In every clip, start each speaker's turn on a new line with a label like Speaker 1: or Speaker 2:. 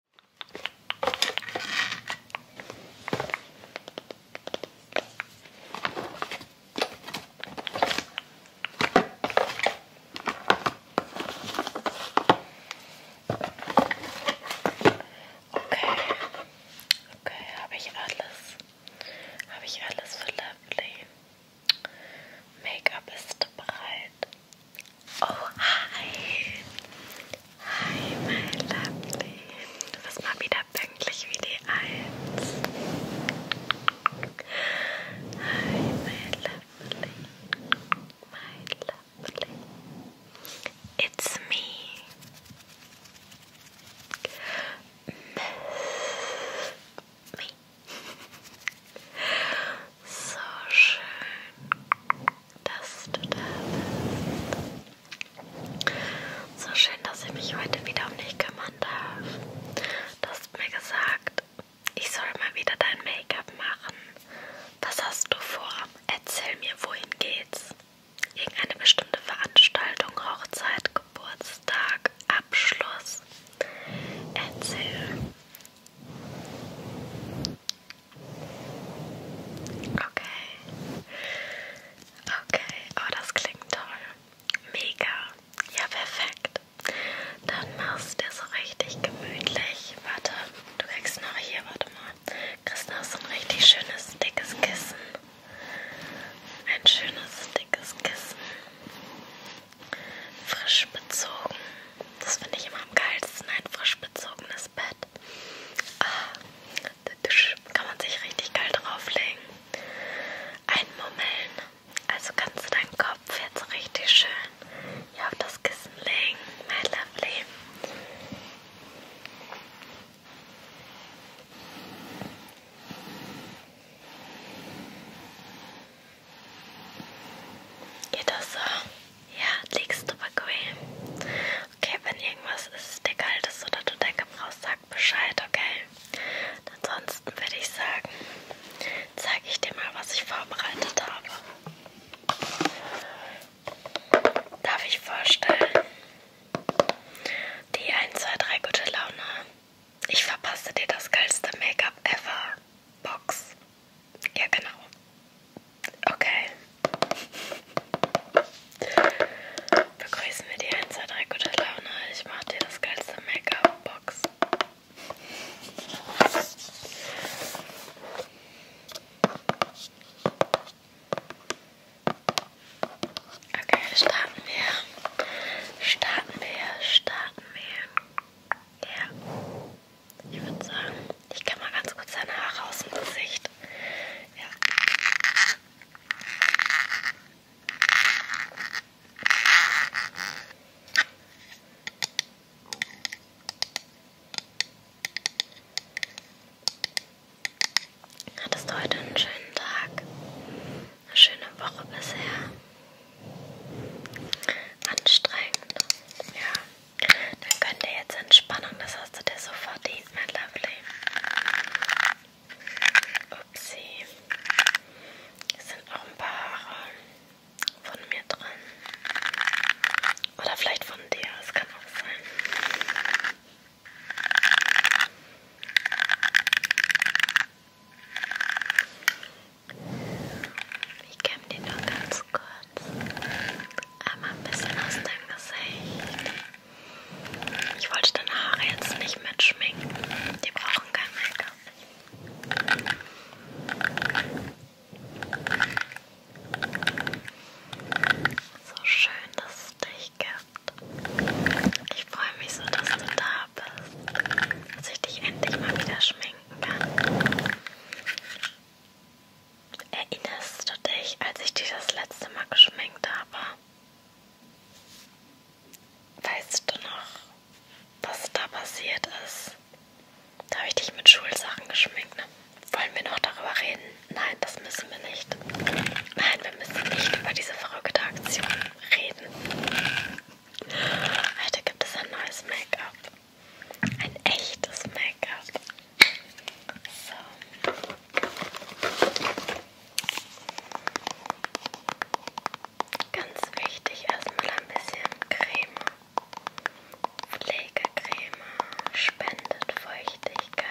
Speaker 1: Okay, okay, habe ich alles. Habe ich alles für Lovely. Make-up ist bereit. Oh, hi. Hi, my lovely. Du bist mal wieder pünktlich wie die Eins. Hi, my lovely. My lovely. It's me. Me. So schön dass du da bist. So schön, dass ich mich heute wieder um dich kümmern darf. Du hast mir gesagt, ich soll mal wieder dein Make-up machen. Was hast du vor? Erzähl mir, wohin geht's? Irgendeine bestimmte Veranstaltung, Hochzeit, Geburtstag, Abschluss. Erzähl. Okay. Okay, oh, das klingt toll. Mega. Ja, perfekt. Dann machst du dir so richtig gemütlich. Warte, du kriegst noch hier, warte mal. Kriegst noch so ein richtig schönes, dickes Kissen. Ein schönes, dickes Kissen. Frisch bezogen. Das finde ich immer am geilsten, ein frisch bezogenes Bett. Ah, da kann man sich richtig geil drauflegen. Einmummeln. Also kannst du deinen Kopf jetzt richtig schön hier auf das Kissen legen. My lovely. Geht das so? Ja, legst du bequem. Okay, wenn irgendwas ist, dir kalt ist oder du Decke brauchst, sag Bescheid, okay? Und ansonsten würde ich sagen, zeige ich dir mal, was ich vorbereitet habe. Darf ich vorstellen? Die 1, 2, 3 gute Laune. Ich verpasse dir das geilste Make-up ever. Box. Ja, genau. Okay. Begrüßen wir die 1, 2, 3 gute Laune. Ich mach dir das geilste Make-up-Box. Okay, starten wir. Starten wir, starten wir. Ja. Ich würde sagen, ich kann mal ganz kurz seine Haare aus dem Gesicht. Ja. Hattest du heute einen schönen Tag? Eine schöne Woche bisher? Anstrengend, ja. Dann könnt ihr jetzt Entspannung, das hast du dir so verdient, mein Lovely. Upsi. Es sind auch ein paar Haare von mir dran. Oder vielleicht von dir, das kann auch sein. Ich kämme dir nur ganz kurz. Einmal ein bisschen aus deinem Gesicht. Ich wollte deine Haare jetzt nicht mit schminken. Die brauchen kein Make-up. So schön, dass es dich gibt. Ich freue mich so, dass du da bist. Dass ich dich endlich mal wieder schminken kann. Erinnerst du dich, als ich dich das letzte Mal geschminkt habe? Weißt du noch, was da passiert ist? Da habe ich dich mit Schulsachen geschminkt. Ne? Wollen wir noch darüber reden? Nein, das müssen wir nicht. Nein, wir müssen nicht über diese verrückte Aktion reden. Heute gibt es ein neues Make-up ein echtes Make-up. So. Ganz wichtig, erstmal ein bisschen Creme. Pflegecreme spendet Feuchtigkeit.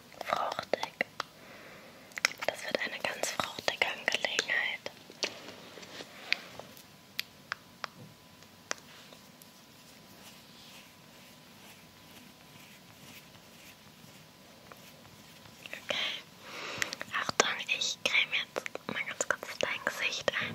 Speaker 1: fruchtig. Das wird eine ganz fruchtige Angelegenheit. Okay. Achtung, ich creme jetzt mal ganz kurz dein Gesicht ein.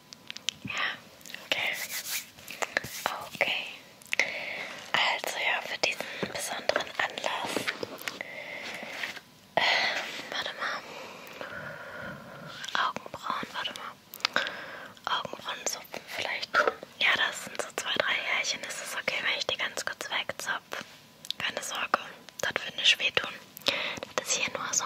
Speaker 1: Ja, okay. Okay. Also ja, für diesen besonderen Anlass. Ähm, warte mal. Augenbrauen, warte mal. Augenbrauenzupfen vielleicht. Ja, das sind so zwei, drei Härchen. Ist es okay, wenn ich die ganz kurz wegzupfe? Keine Sorge, das wird nicht wehtun. Das ist hier nur so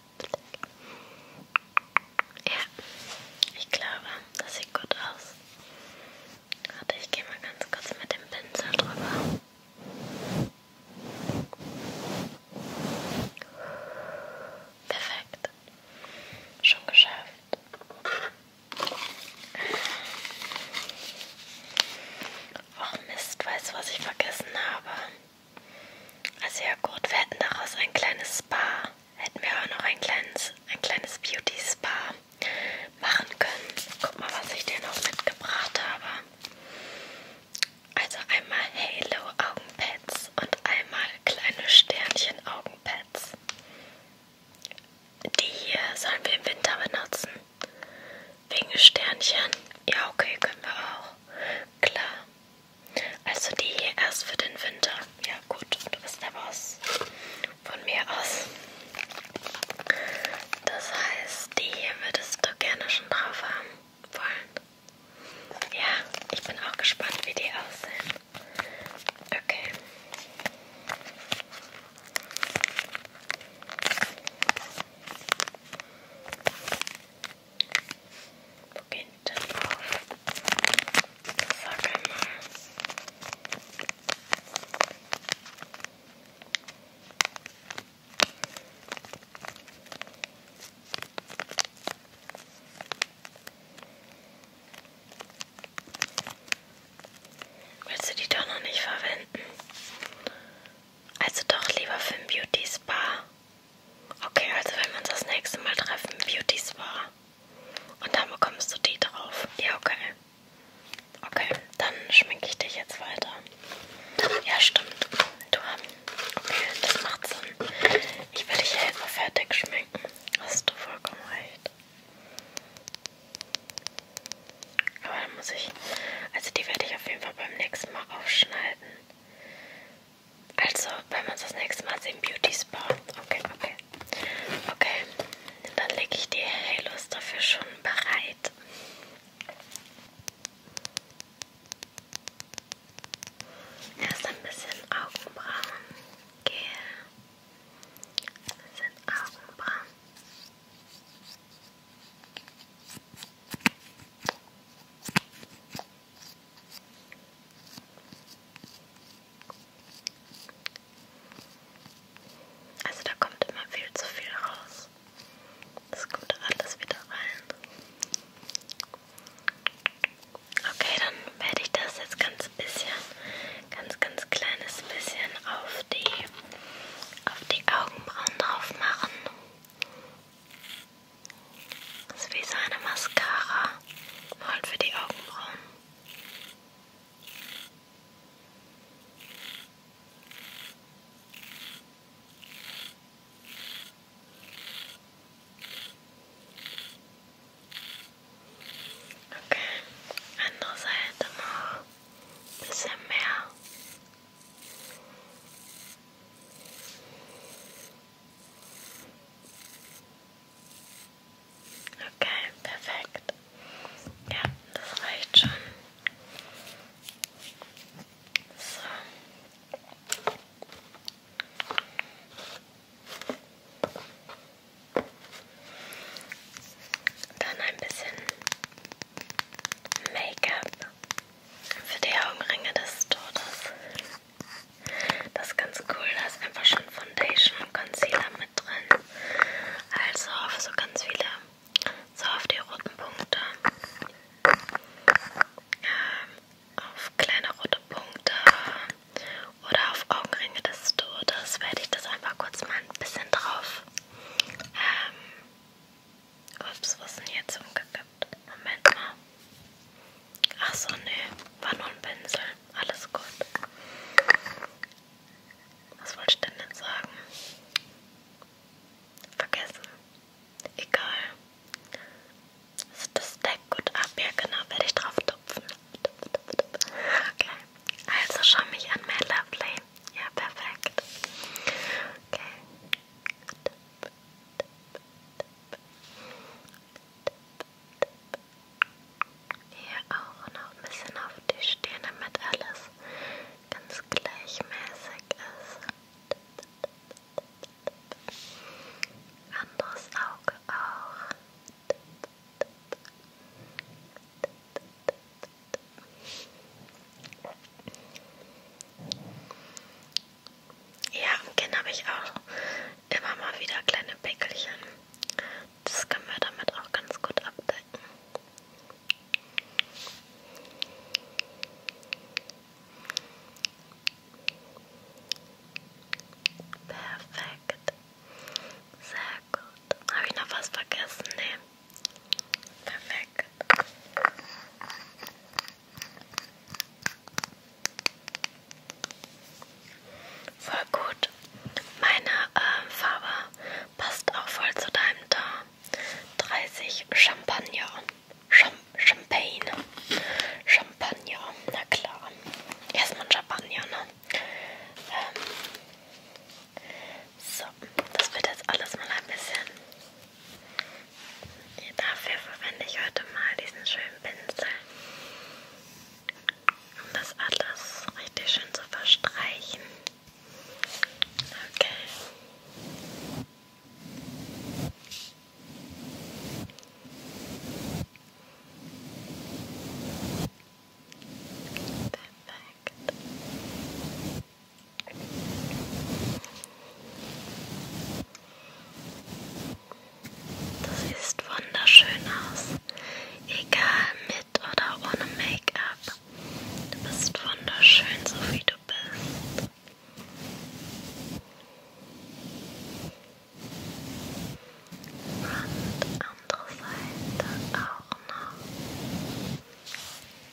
Speaker 1: Ja, ich glaube, das sieht gut aus. Warte, ich gehe mal ganz kurz mit dem Pinsel drüber. Perfekt. Schon geschafft. Oh Mist, weißt du, was ich vergessen habe? Also ah, ja gut, wir hätten daraus ein kleines Spa. Hätten wir auch noch ein kleines, ein kleines Beauty Spa machen können. Guck mal, was ich dir noch mitgebracht habe. Also einmal Halo Augenpads und einmal kleine Sternchen Augenpads. Die hier sollen wir im Winter benutzen. Wegen Sternchen? Ja, okay, können wir auch. Klar. Also die hier erst für den Winter. Ja gut, du bist der Boss. Von mir aus. Das heißt, die hier würdest du gerne schon drauf haben wollen. Ja, ich bin auch gespannt, wie die aussehen. Okay. Wo geht denn auf? Sag einmal. Willst du die doch noch nicht verwenden? Also doch lieber für ein Beauty Spa. Okay, also wenn wir uns das nächste Mal treffen, Beauty Spa. Und dann bekommst du die drauf. Ja, okay. Okay, dann schminke ich dich jetzt weiter. Ja, stimmt. Du Okay, das macht Sinn. Ich will dich ja jetzt fertig schminken. Hast du vollkommen recht. Aber dann muss ich. Also die werde ich auf jeden Fall beim nächsten Mal aufschneiden. Also, wenn wir uns das nächste Mal sehen, Beauty Spa. Okay, okay. Okay, dann lege ich die Halos dafür schon bereit. Erst ein bisschen Augenbrauen. Gehe. Ein bisschen Augenbrauen. Also da kommt immer viel zu viel raus. Das kommt alles wieder rein. Okay, dann werde ich das jetzt ganz bisschen, ganz, ganz kleines bisschen auf die, auf die Augenbrauen drauf machen. Das ist wie so eine Mascara. Voll halt für die Augenbrauen. Okay, andere Seite noch. Bisschen mehr. Okay, perfekt. Ja, das reicht schon. So. Dann ein bisschen Make-up für die Augenringe des Todes. Das ist ganz cool, da ist einfach schon Foundation und Concealer mit drin. Also auf so ganz viele, so auf die roten Punkte. Ähm, auf kleine rote Punkte oder auf Augenringe des Todes werde ich das einfach kurz mal ein bisschen drauf ähm, Ups, was ist denn jetzt umgekippt? Moment mal. Ach so, nee, war nur ein Pinsel. Alles gut. Was wollte ich denn jetzt sagen? Vergessen. Egal. Ist also das Deck gut ab? Ja, genau, werde ich drauf tupfen. Okay. Also schau mich an, my lovely. Ja, perfekt. Okay. Hier auch noch ein bisschen auf die Stirn, damit alles ganz gleichmäßig ist. Anderes Auge auch. Ja, am Kinn habe ich auch immer mal wieder kleine Pickelchen. Das können wir damit auch ganz gut abdecken. Perfekt. Sehr gut. Habe ich noch was vergessen? Nee. Perfekt. Voll gut. Meine äh, Farbe passt auch voll zu deinem Teint. 30 Champagner. Cham Champagne. Champagner. Na klar. Erstmal ein Champagner, ne? Ähm. So. So, das wird jetzt alles mal ein bisschen. Dafür verwende ich heute mal diesen schönen Pinsel, um das alles richtig schön zu verstreichen. Okay. Perfekt. Das sieht wunderschön aus, egal mit oder ohne Make-up. Du bist wunderschön, so wie du bist. Und andere Seite auch noch.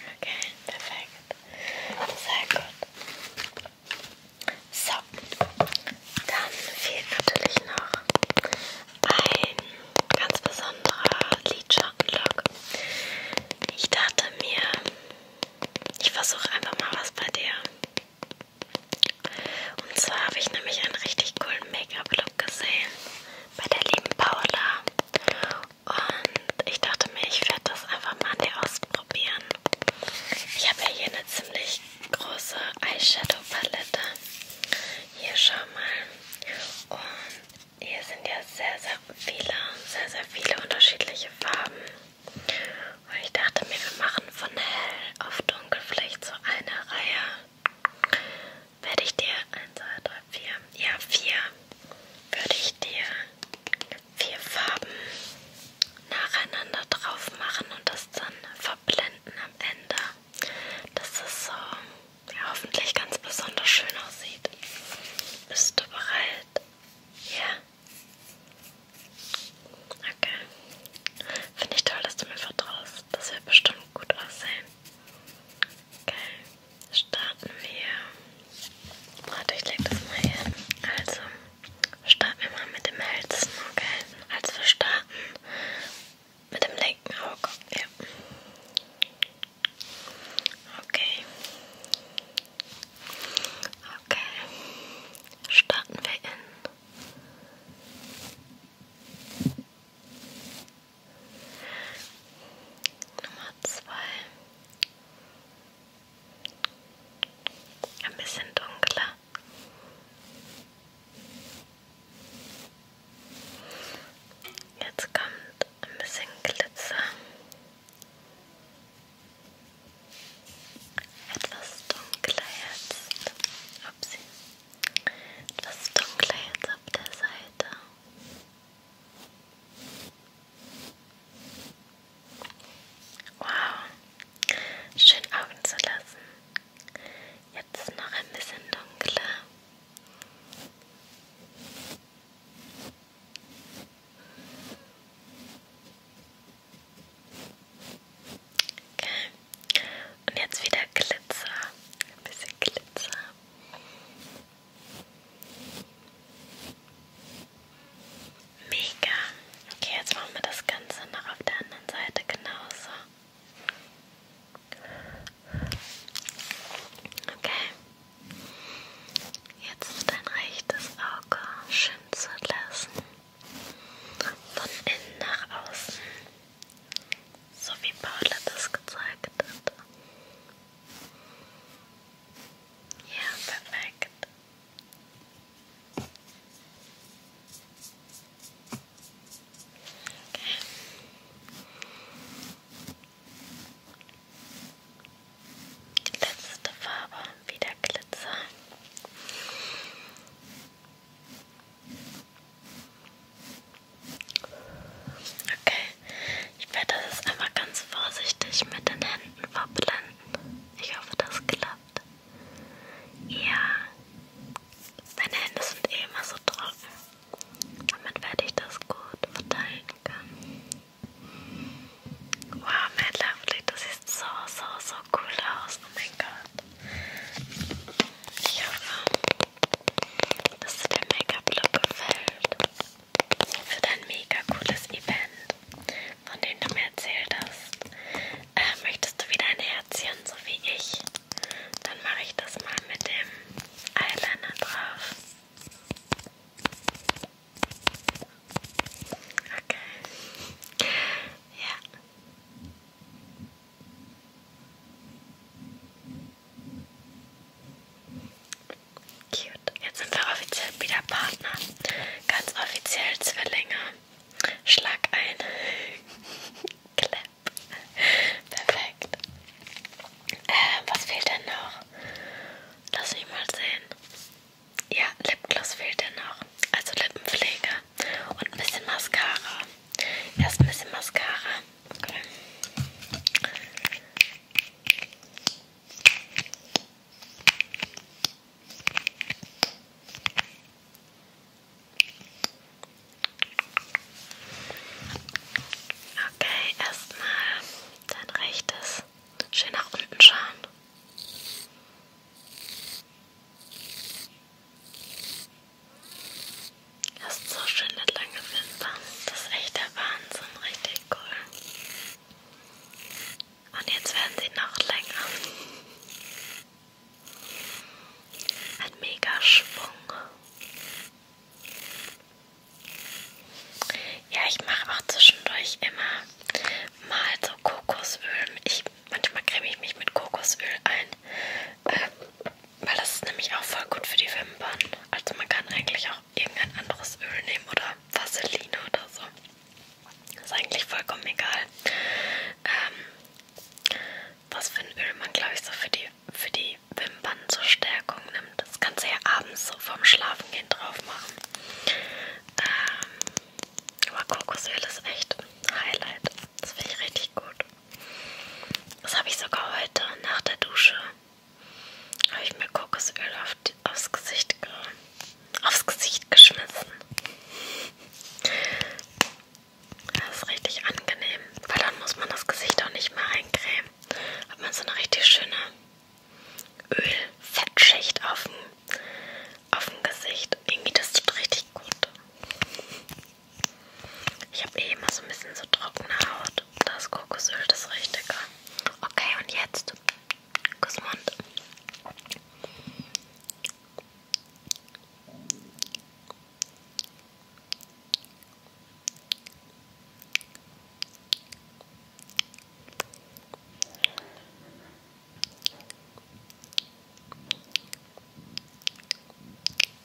Speaker 1: Okay, perfekt. Sehr gut. So, dann fehlt natürlich noch ein ganz besonderer Lidschattenlook. Ich dachte mir, ich versuche einfach mal was bei dir. Und zwar habe ich nämlich einen richtig coolen Make-up-Look gesehen bei der lieben Paula. Und ich dachte mir, ich werde das einfach mal an dir ausprobieren. Ich habe ja hier eine ziemlich große Eyeshadow-Palette. Hier, schau mal. Und hier sind ja sehr, sehr viele, sehr, sehr viele unterschiedliche Farben. Und ich dachte mir, wir machen von hell auf dunkel vielleicht so eine Reihe. Werde ich dir 1, 2, 3, 4, ja 4, würde ich dir vier Farben nacheinander drauf machen und das dann verblenden am Ende. Dass es so ja, hoffentlich ganz besonders schön aussieht. Bist du bereit? Ja? Okay. Finde ich toll, dass du mir vertraust. Das wird bestimmt gut aussehen. Okay. Starten wir. Warte, ich leg das mal hin. Also, starten wir mal mit dem hellsten, okay? Als wir starten, mit dem linken Auge. Ja. Okay. Okay. Starten wir in Nummer zwei. Ein bisschen dunkler. Jetzt kommt ein bisschen Glitzer. Etwas dunkler jetzt. Upsi. Etwas dunkler jetzt auf der Seite. Wow. Schön Augen zu lassen. Jetzt noch ein bisschen dunkler. Okay. Und jetzt wieder Glitzer. Ein bisschen Glitzer. Mega. Okay, jetzt machen wir das Ganze noch auf der anderen Seite genauso. Okay. Jetzt dein rechtes Auge schön zu lassen von innen nach außen, so wie Paula das gezeigt hat. Ja, perfekt. Okay. Die letzte Farbe, wieder Glitzer. Okay, ich werde das einmal ganz vorsichtig mit den Händen verblenden. Ich hoffe, das klappt. Ja, meine Hände sind eh immer so trocken. Damit werde ich das gut verteilen können. Wow, mein Lovely, das sieht so, so, so cool aus. Oh mein Gott. Ich hoffe, dass dir der Make-up-Look gefällt. Für dein mega cooles Event, von dem du mir erzählt hast. Äh, möchtest du wieder ein Herzchen, so wie ich? Dann mache ich das mal mit dem Eyeliner drauf. Okay. Ja. Cute. Jetzt sind wir offiziell wieder Partner. Ganz offiziell Zwillinge. Schlag ein. Clap. Perfekt. Äh, was fehlt denn noch? Lass mich mal sehen. Ja, Lipgloss fehlt ja noch. Also Lippenpflege und ein bisschen Mascara. Erst ein bisschen Mascara. Okay. Okay, erstmal dein rechtes schön nach unten schauen. Hast so schöne lange Wimpern. Das ist echt der Wahnsinn. Richtig cool. Und jetzt werden sie noch länger. Ein mega Schwung. Ja, ich mache auch zwischendurch immer mal so so Kokosöl. Ich, manchmal creme ich mich mit Kokosöl ein, äh, weil das ist nämlich auch voll gut für die Wimpern. Also man kann eigentlich auch irgendein anderes Öl nehmen oder Vaseline oder so. Ist eigentlich vollkommen egal, ähm, was für ein Öl man, glaube ich, so für die, für die Wimpern zur Stärkung nimmt. Das kannst du ja abends so vorm Schlafengehen drauf machen. Ähm, aber Kokosöl ist echt ein Highlight. Das finde ich richtig gut. Das habe ich sogar heute nach der Dusche. Habe ich mir Kokosöl auf die, aufs, Gesicht ge, aufs Gesicht geschmissen. Das ist richtig angenehm, weil dann muss man das Gesicht auch nicht mehr eincremen. Hat man so eine richtig schöne Öl-Fettschicht auf dem, auf dem Gesicht. Irgendwie, das tut richtig gut. Ich habe eh immer so ein bisschen so trockene Haut. Das Kokosöl, das Richtige. Okay, und jetzt Kussmund.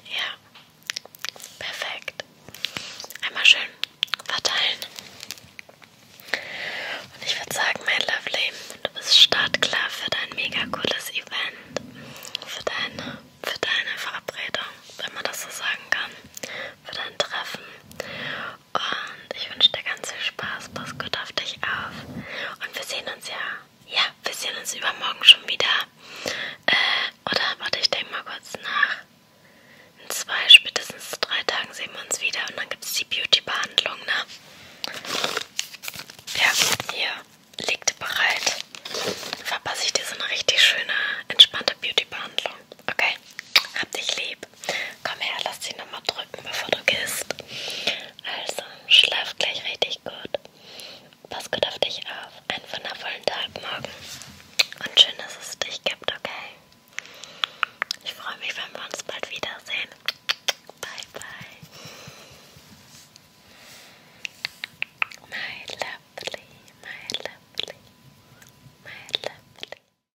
Speaker 1: Ja, perfekt. Einmal schön verteilen. Und ich würde sagen, mein Lovely, du bist startklar für dein mega cooles Event. Für deine, für deine Verabredung, wenn man das so sagen kann. Für dein Treffen. Und ich wünsche dir ganz viel Spaß. Pass gut auf dich auf. Und wir sehen uns ja. Ja, wir sehen uns übermorgen schon wieder. Äh, oder warte, ich denke mal kurz nach. In zwei, spätestens drei Tagen sehen wir uns wieder. Und dann gibt es die Beauty-Behandlung, ne? Ja, hier. Liegt bereit. Verpasse ich dir so eine richtig schöne, entspannte Beauty-Behandlung. Okay? Hab dich lieb. Komm her, lass dich nochmal drücken, bevor du gehst. Also, schlaf gleich richtig gut. Pass gut auf dich auf. Einen wundervollen Tag morgen. Und schön, dass es dich gibt, okay? Ich freue mich, wenn wir uns bald wiedersehen. Bye, bye. My lovely, my lovely, my lovely.